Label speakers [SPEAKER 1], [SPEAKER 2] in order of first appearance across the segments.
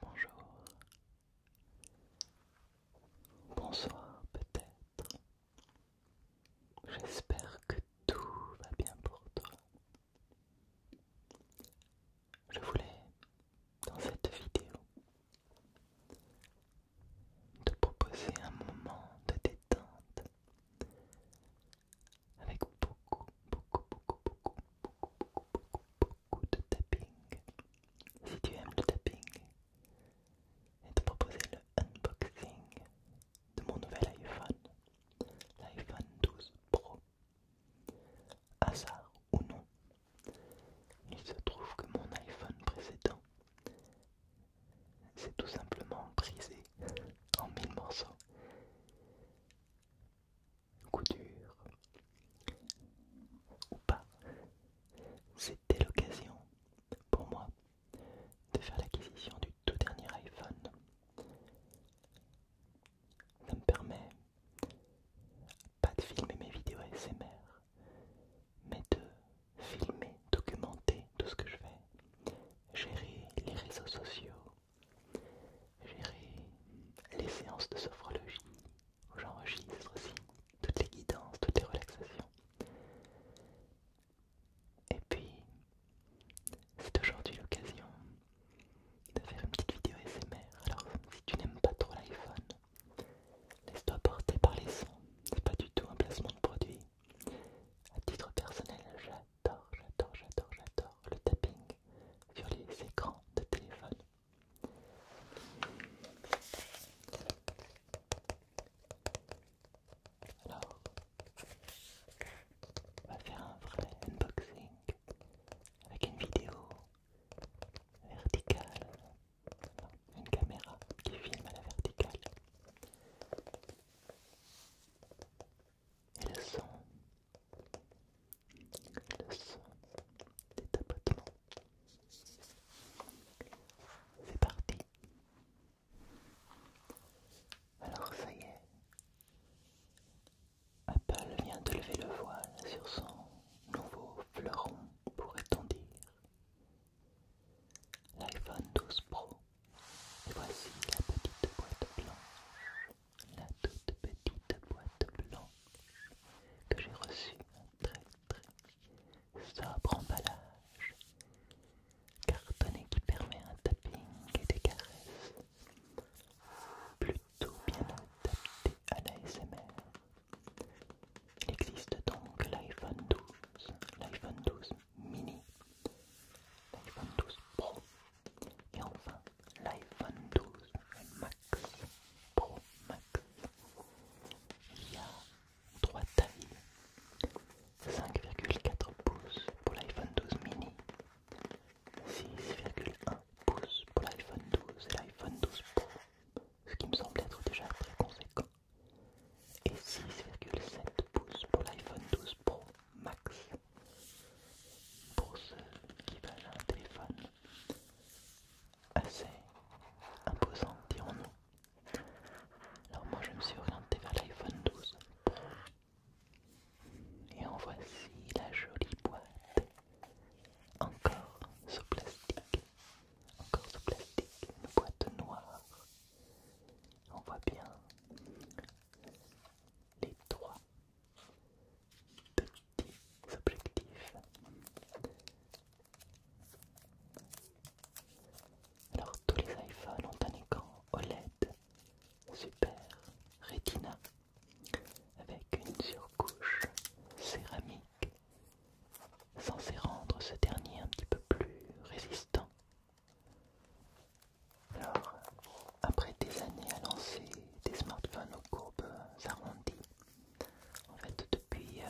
[SPEAKER 1] Bonjour. Bonsoir peut-être. J'espère que tout va bien pour toi. Je voulais, dans cette vidéo, te proposer un moment de détente avec beaucoup, beaucoup, beaucoup, beaucoup, beaucoup, beaucoup, beaucoup, beaucoup de tapping. Si tu aimes le tapping, et te proposer le unboxing de mon nouvel iPhone, l'iPhone 12 Pro. Hasard ou non, il se trouve que mon iPhone précédent c'est tout simplement brisé en mille morceaux. Coup dur ou pas, c'était l'occasion pour moi de faire l'acquisition du tout dernier iPhone. Ça me permet pas de filmer mes vidéos S.M.R. mais de filmer, documenter tout ce que je fais, gérer les réseaux sociaux, gérer les séances de sophrologie où j'enregistre aussi toutes les guidances, toutes les relaxations. Et puis, c'est aujourd'hui l'occasion de faire une petite vidéo SMR. Alors, si tu n'aimes pas trop l'iPhone, laisse-toi porter par les sons. C'est pas du tout un placement de produit. À titre personnel, j'adore, j'adore, j'adore, j'adore le tapping sur les écrans de téléphone. Alors, on va faire un vrai unboxing avec une vidéo verticale, une caméra qui filme à la verticale et le son, le son des tapotements. C'est parti. Alors ça y est, Apple vient de lever le voile sur son nouveau fleuron, pourrait-on dire, l'iPhone 12 Pro. Et Voici la petite boîte blanche, la toute petite boîte blanche que j'ai reçue un très très sobre emballage cartonné qui permet un tapping et des caresses plutôt bien adapté à l'ASMR. Il existe donc l'iPhone 12, l'iPhone 12 mini, l'iPhone 12 Pro et enfin l'iPhone 12 Max Pro Max. Il y a trois tailles 5,4 pouces pour l'iPhone 12 mini, 6,1 pouces pour l'iPhone 12 et l'iPhone 12 Pro, ce qui me semble être déjà très conséquent, et 6,7 pouces pour l'iPhone 12 Pro Max. Pour ceux qui veulent un téléphone assez imposant, dirons-nous. Alors moi je me suis orienté vers l'iPhone 12 Et en voici la jolie boîte. Encore sous plastique. Encore sous plastique. Une boîte noire. On voit bien les trois petits objectifs. Alors tous les iPhones ont un écran OLED Super Retina avec une surcouche céramique censée rendre ce dernier un petit peu plus résistant alors, après des années à lancer des smartphones aux courbes arrondies, en fait depuis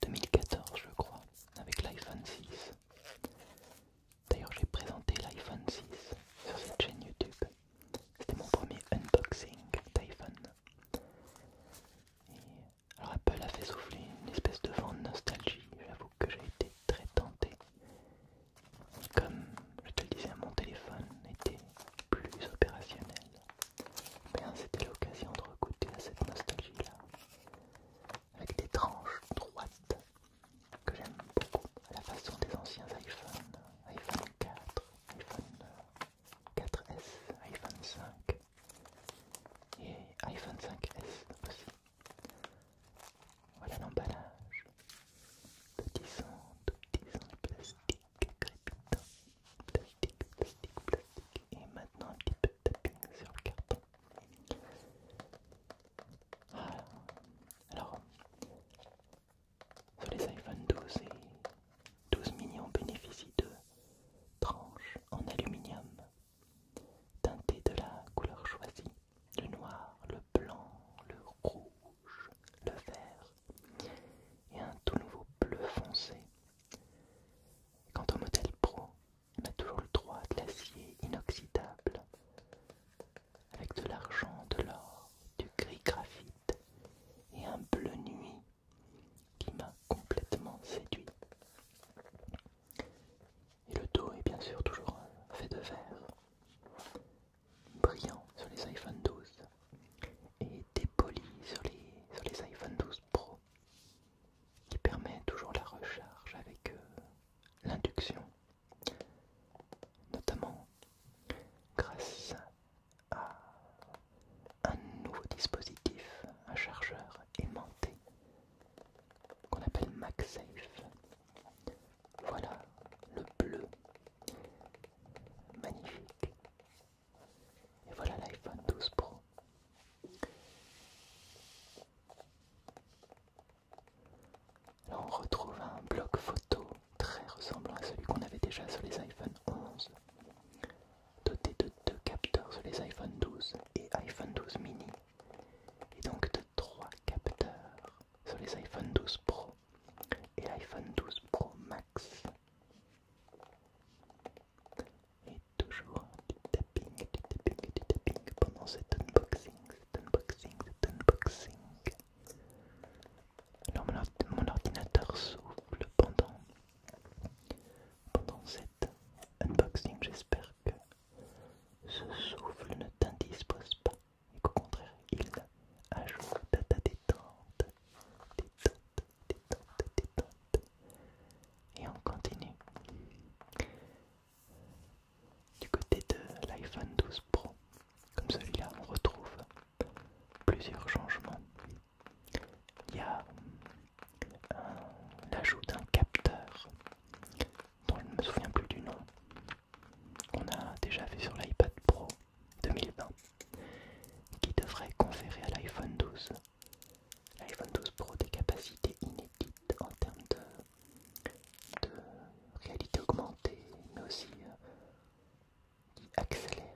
[SPEAKER 1] 2014 euh, je crois, avec l'iPhone 6. D'ailleurs j'ai présenté l'iPhone 6 sur cette chaîne YouTube. C'était mon premier unboxing d'iPhone. Alors Apple a fait souffler une espèce de vent de nostalgie, j'avoue que j'ai été très tenté comme je te le disais, mon téléphone était plus opérationnel. Hein, c'était l'occasion de recouter à cette nostalgie-là, avec des tranches droites que j'aime beaucoup, à la façon des anciens iPhones, iPhone 4, iPhone 4S, iPhone 5 euh, et iPhone 5S voilà l'emballage. Petit son, tout petit son plastique crépitant. Plastique, plastique, plastique. Et maintenant un petit peu de tapping sur le carton. Voilà. Alors, sur les iPhone 12 et 12 mini, on bénéficie de tranches en aluminium teinté de la couleur choisie, le noir, le blanc, le rouge, le vert et un tout nouveau bleu foncé. Quant au modèle Pro, on a toujours le droit de l'acier inoxydable avec de l'argent, de l'or, du gris graphite et un bleu nuit qui m'a complètement séduit. Et le dos est bien sûr toujours euh, fait de verre, brillant sur les iPhone 12 et dépoli sur les, sur les iPhone 12 Pro, qui permet toujours la recharge avec euh, l'induction, notamment grâce à un nouveau dispositif, un chargeur aimanté qu'on appelle MagSafe voilà le bleu. Magnifique. Et voilà l'iPhone 12 Pro. Là on retrouve un bloc photo très ressemblant à celui qu'on avait déjà sur les iPhone 11, doté de deux capteurs sur les iPhone 12 et iPhone 12 mini, et donc de trois capteurs sur les iPhone 12 Pro et iPhone 12 Pro Max. Et toujours du tapping, du tapping, du tapping pendant cet unboxing, unboxing, unboxing. Alors mon ordinateur souffle pendant, pendant cet unboxing. J'espère que ce souffle ne t'indispose pas et qu'au contraire, il ajoute à détente, détente, détente, détente. Et on continue. Du côté de l'iPhone 12 Pro, comme celui-là, on retrouve plusieurs changements. Il y a l'ajout d'un capteur dont je ne me souviens plus du nom, qu'on a déjà vu sur l'iPad Pro 2020, qui devrait conférer à l'iPhone 12, l'iPhone 12 Pro des capacités inédites en termes de, réalité augmentée, mais aussi euh, qui accélère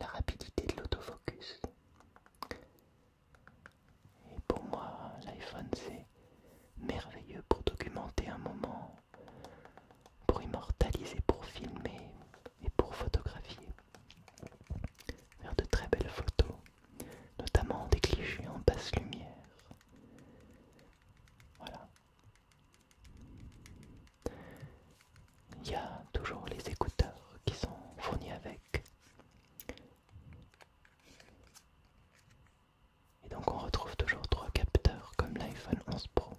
[SPEAKER 1] la rapidité de l'autofocus. Et pour moi, l'iPhone, c'est merveilleux pour documenter un moment, pour immortaliser, pour filmer et pour photographier. Faire de très belles photos, notamment des clichés en basse lumière. Voilà. Il y a toujours les écouteurs qui sont fournis avec. Et donc on retrouve toujours trois capteurs comme l'iPhone 11 Pro,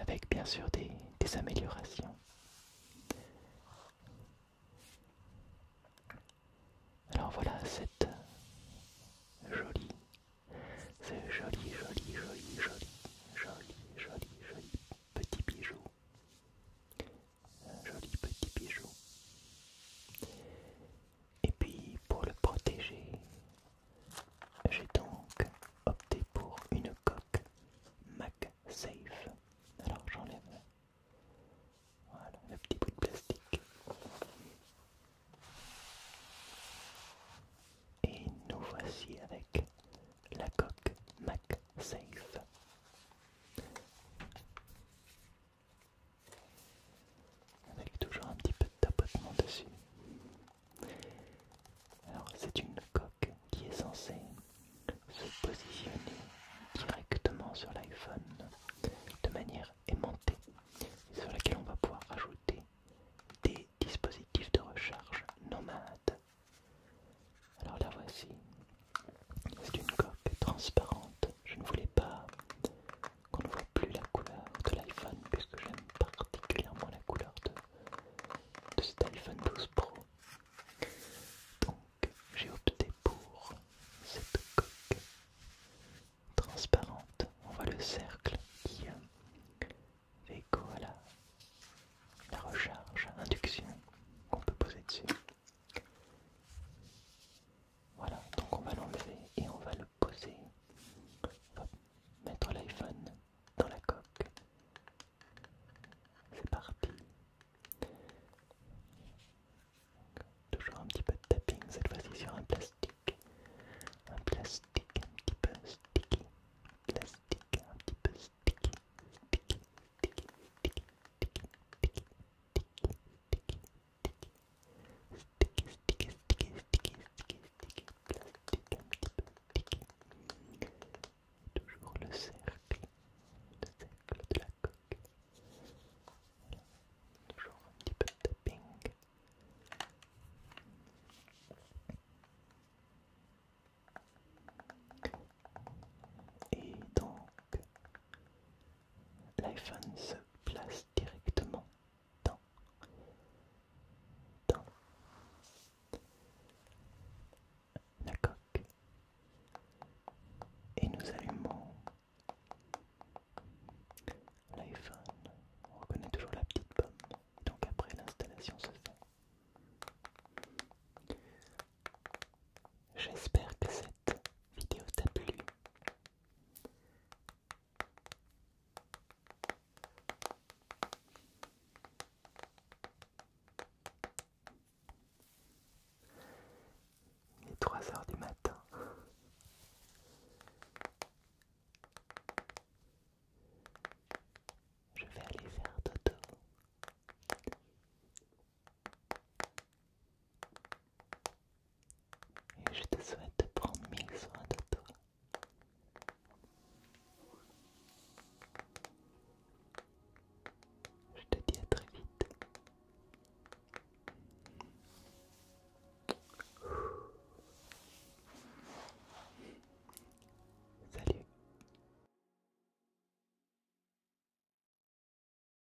[SPEAKER 1] avec bien sûr des, améliorations. Alors voilà cette jolie, ce joli, joli, joli, joli, joli, joli, joli petit bijou. joli petit bijou. Et puis pour le protéger, j'ai donc opté pour une coque MacSafe. Alors j'enlève voilà, le petit bout de plastique. Et nous voici avec la coque safe avec toujours un petit peu de tapotement dessus. Alors c'est une coque qui est censée se positionner directement sur l'iPhone de manière aimantée sur laquelle on va pouvoir ajouter des dispositifs de recharge nomades. Alors la voici. C'est une coque transparente. Je ne voulais pas qu'on ne voit plus la couleur de l'iPhone puisque j'aime particulièrement la couleur de, cet iPhone 12 Pro. Donc j'ai opté pour cette coque transparente. On voit le cercle qui fait euh, écho à la, la recharge induction qu'on peut poser dessus. Voilà, donc on va l'enlever et on va le poser. mettre l'iPhone dans la coque. C'est parti. Toujours un petit peu de tapping, cette fois-ci sur un plastique. Un plastique un petit peu sticky. Plastique un petit peu sticky sticky, sticky, sticky, sticky, sticky, sticky, plastique, un petit peu sticky. toujours le cercle, le cercle de la coque. Toujours un petit peu de tapping. Et donc, l'iPhone se place directement dans, la coque et nous allumons l'iPhone. On reconnaît toujours la petite pomme, donc après l'installation se fait. J'espère que cette vidéo t'a plu. Il est 3 heures du matin. Je vais aller faire dodo. Et je te souhaite de prendre mille soins de toi. Je te dis à très vite. Salut.